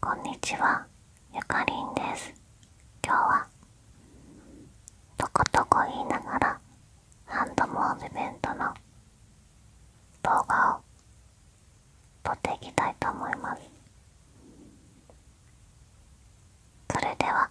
こんにちは、ゆかりんです。今日は、とことこ言いながらハンドモーブメントの動画を撮っていきたいと思います。それでは